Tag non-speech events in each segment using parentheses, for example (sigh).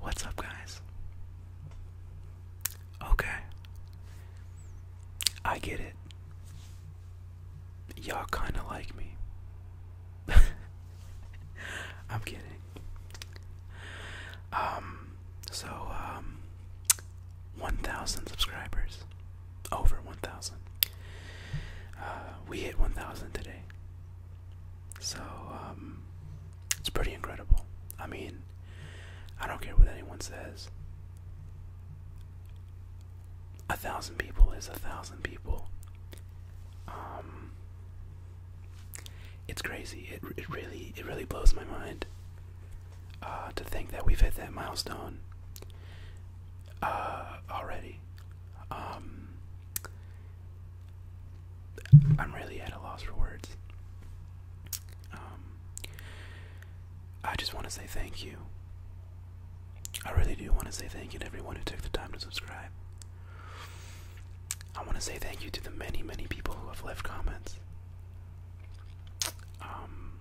What's up, guys? Okay. I get it. Y'all kind of like me. (laughs) I'm kidding. Um, so, um, 1,000 subscribers over 1,000. Uh, we hit 1,000 today. So, um, it's pretty incredible. I mean, I don't care what anyone says. A thousand people is a thousand people. Um, it's crazy. It it really it really blows my mind uh, to think that we've hit that milestone uh, already. Um, I'm really at a loss for words. Um, I just want to say thank you. I really do want to say thank you to everyone who took the time to subscribe. I want to say thank you to the many, many people who have left comments. Um,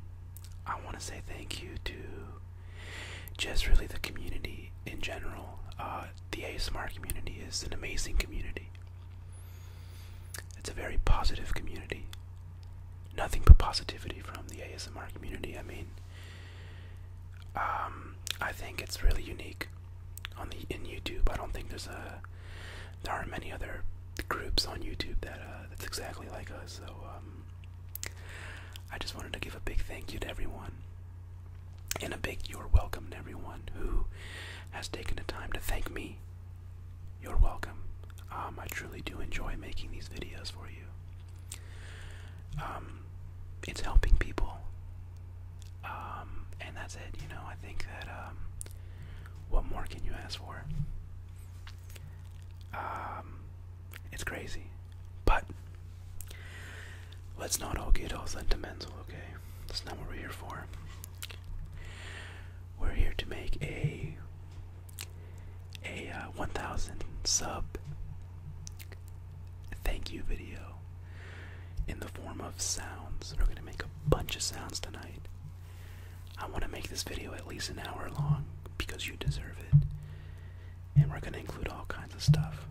I want to say thank you to just really the community in general. Uh, the ASMR community is an amazing community. It's a very positive community. Nothing but positivity from the ASMR community. I mean, um, I think it's really unique on the in YouTube. I don't think there's a there aren't many other groups on YouTube that uh, that's exactly like us. So um, I just wanted to give a big thank you to everyone, and a big you're welcome to everyone who has taken the time to thank me. You're welcome. Um, I truly do enjoy making these videos for you. Um, it's helping people, um, and that's it. You know, I think that what more can you ask for? It's crazy. But let's not all get all sentimental, okay? That's not what we're here for. We're here to make a a uh, 1,000 sub thank you video in the form of sounds. We're gonna make a bunch of sounds tonight. I want to make this video at least an hour long because you deserve it and we're going to include all kinds of stuff.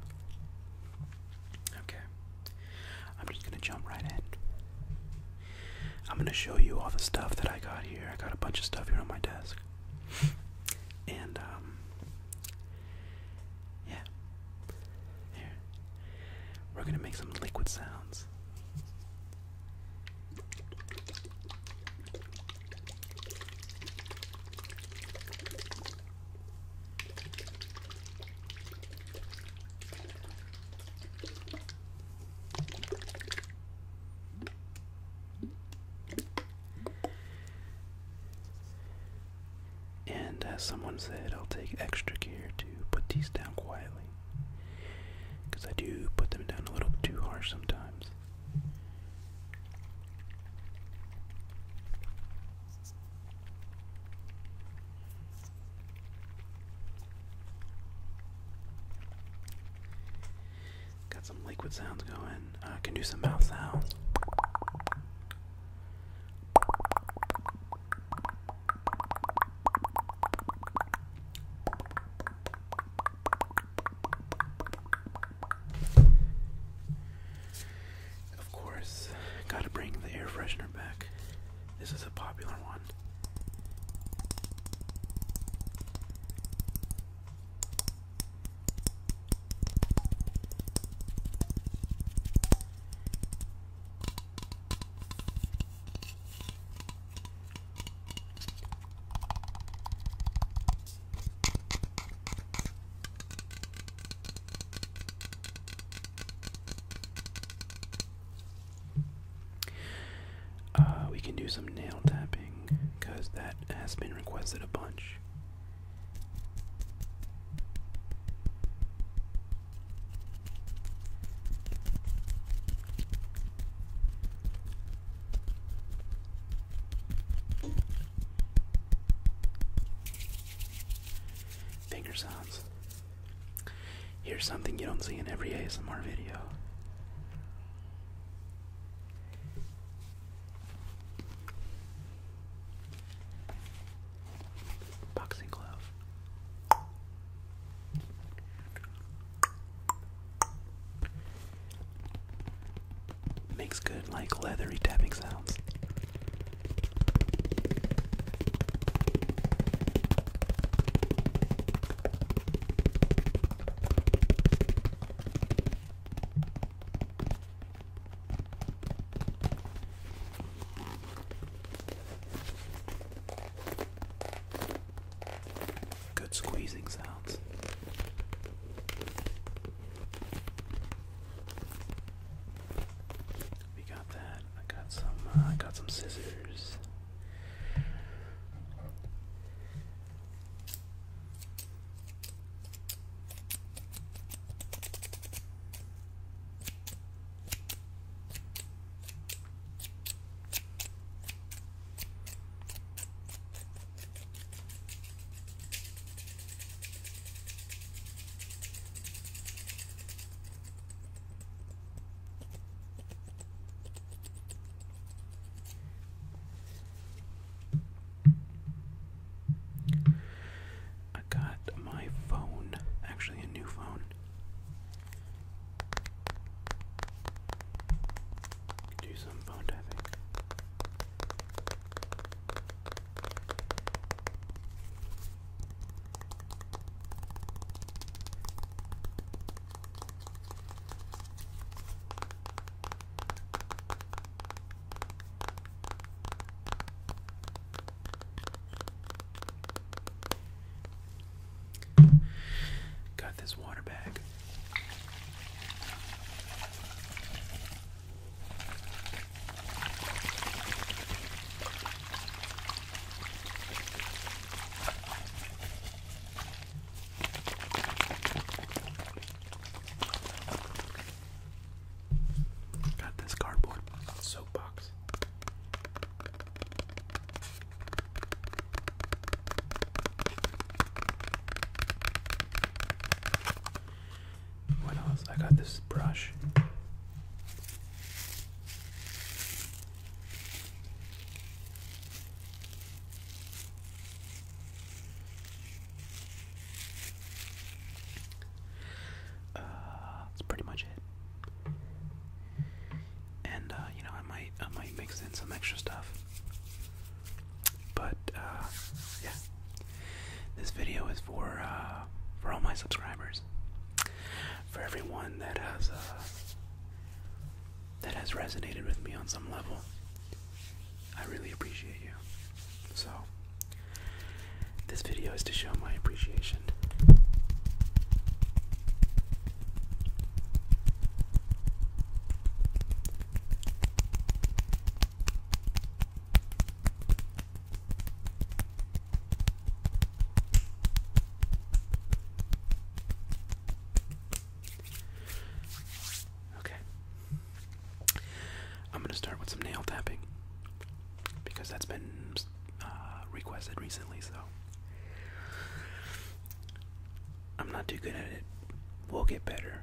Okay. I'm just going to jump right in. I'm going to show you all the stuff that I got here. I got a bunch of stuff here on my desk. And, um, yeah. Here. We're going to make some liquid sounds. And as someone said, I'll take extra care to put these down quietly. Because I do put them down a little too harsh sometimes. Got some liquid sounds going. Uh, can do some mouth sounds. Of course, gotta bring the air freshener back. This is a popular one. Uh, we can do some nail tapping because that has been requested a bunch. Finger sounds. Here's something you don't see in every ASMR video. Boxing glove. Makes good, like, leathery tapping sounds. Good squeezing sounds. We got that. I got some. Uh, I got some scissors. I got my phone, actually, a new phone. Do some phone tapping. Got this water bag. Got this cardboard soapbox. What else? I got this brush. Uh, that's pretty much it. And uh, you know, I might I might mix in some extra stuff. But uh, yeah, this video is for uh, for all my subscribers, for everyone that has uh, that has resonated with me on some level. I really appreciate you. So this video is to show my appreciation. Okay. I'm going to start with some nail tapping because that's been uh, requested recently, so. I'm not too good at it, We'll get better.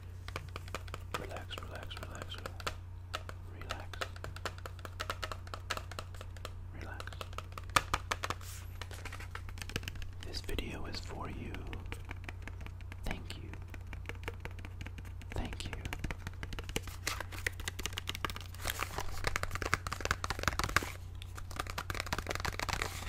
Relax, relax, relax, relax. Relax. This video is for you. Thank you. Thank you.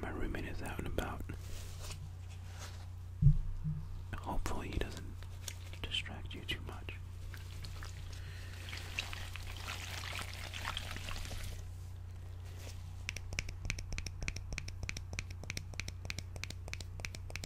My roommate is out and about. Hopefully, he doesn't distract you too much.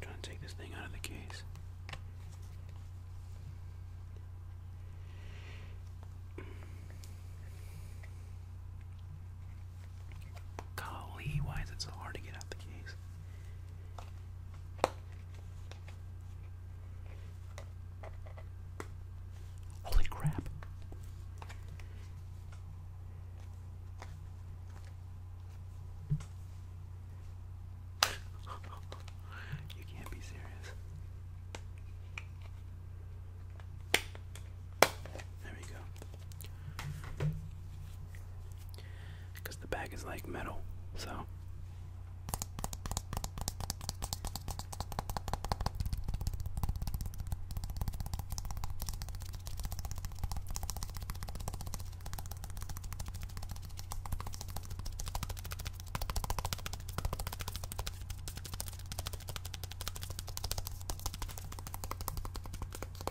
Trying to take this thing out of the case. Golly, why is it so hard to get out the case? Holy crap. you can't be serious. There we go because the bag is like metal. So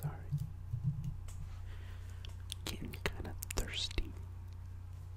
Sorry. Getting kind of thirsty.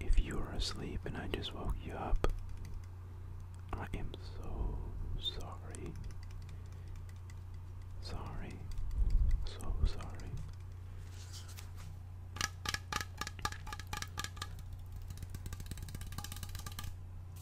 If you were asleep and I just woke you up, I am so sorry. Sorry. So sorry.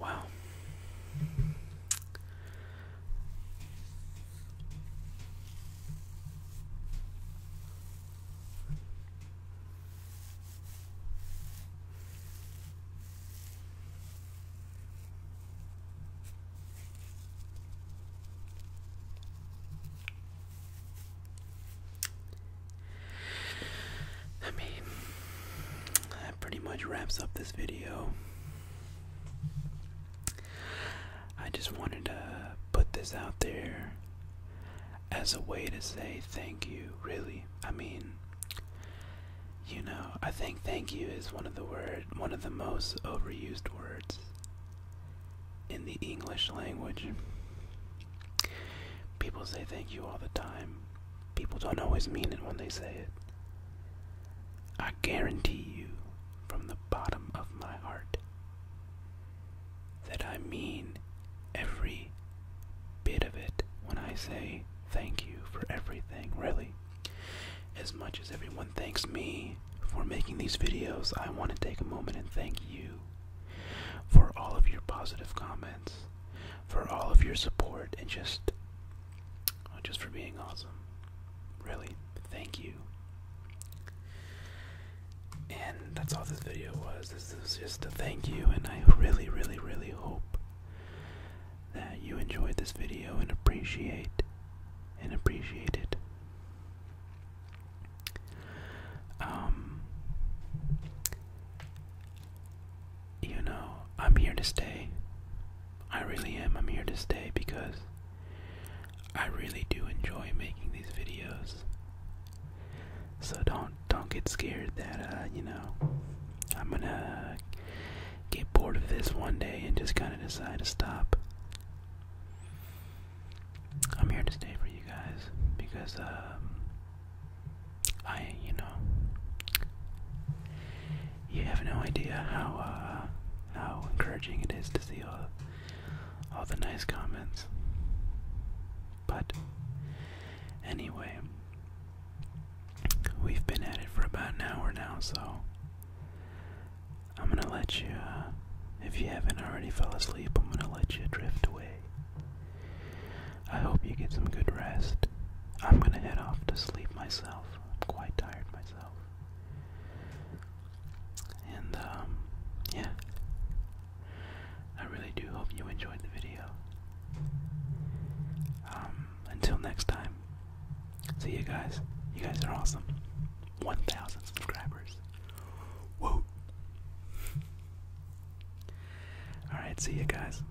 Wow. I mean, pretty much wraps up this video. I just wanted to put this out there as a way to say thank you, really. I mean, you know, I think thank you is one of the word one of the most overused words in the English language. People say thank you all the time, People don't always mean it when they say it. I guarantee you, from the bottom of my heart, that I mean every bit of it when I say thank you for everything, really. As much as everyone thanks me for making these videos, I want to take a moment and thank you for all of your positive comments, for all of your support, and just just for being awesome. Really, thank you. And that's all this video was. This is just a thank you, and I really, really, really hope that you enjoyed this video and appreciate and appreciate it. Um, you know, I'm here to stay. I really am. I'm here to stay because I really do enjoy making these videos. So don't don't get scared that uh, you know, I'm going to get bored of this one day and just kind of decide to stop. I'm here to stay for you guys because um I, you know, you have no idea how uh, how encouraging it is to see all all the nice comments. But anyway, we've been at it for about an hour now, so I'm gonna let you. Uh, if you haven't already fell asleep, I'm gonna let you drift away. I hope you get some good rest. I'm gonna head off to sleep myself. I'm quite tired myself. And um, yeah, I really do hope you enjoyed the video. Um, until next time, see you guys. You guys are awesome. 1,000 subscribers. Whoa! Alright, see you guys.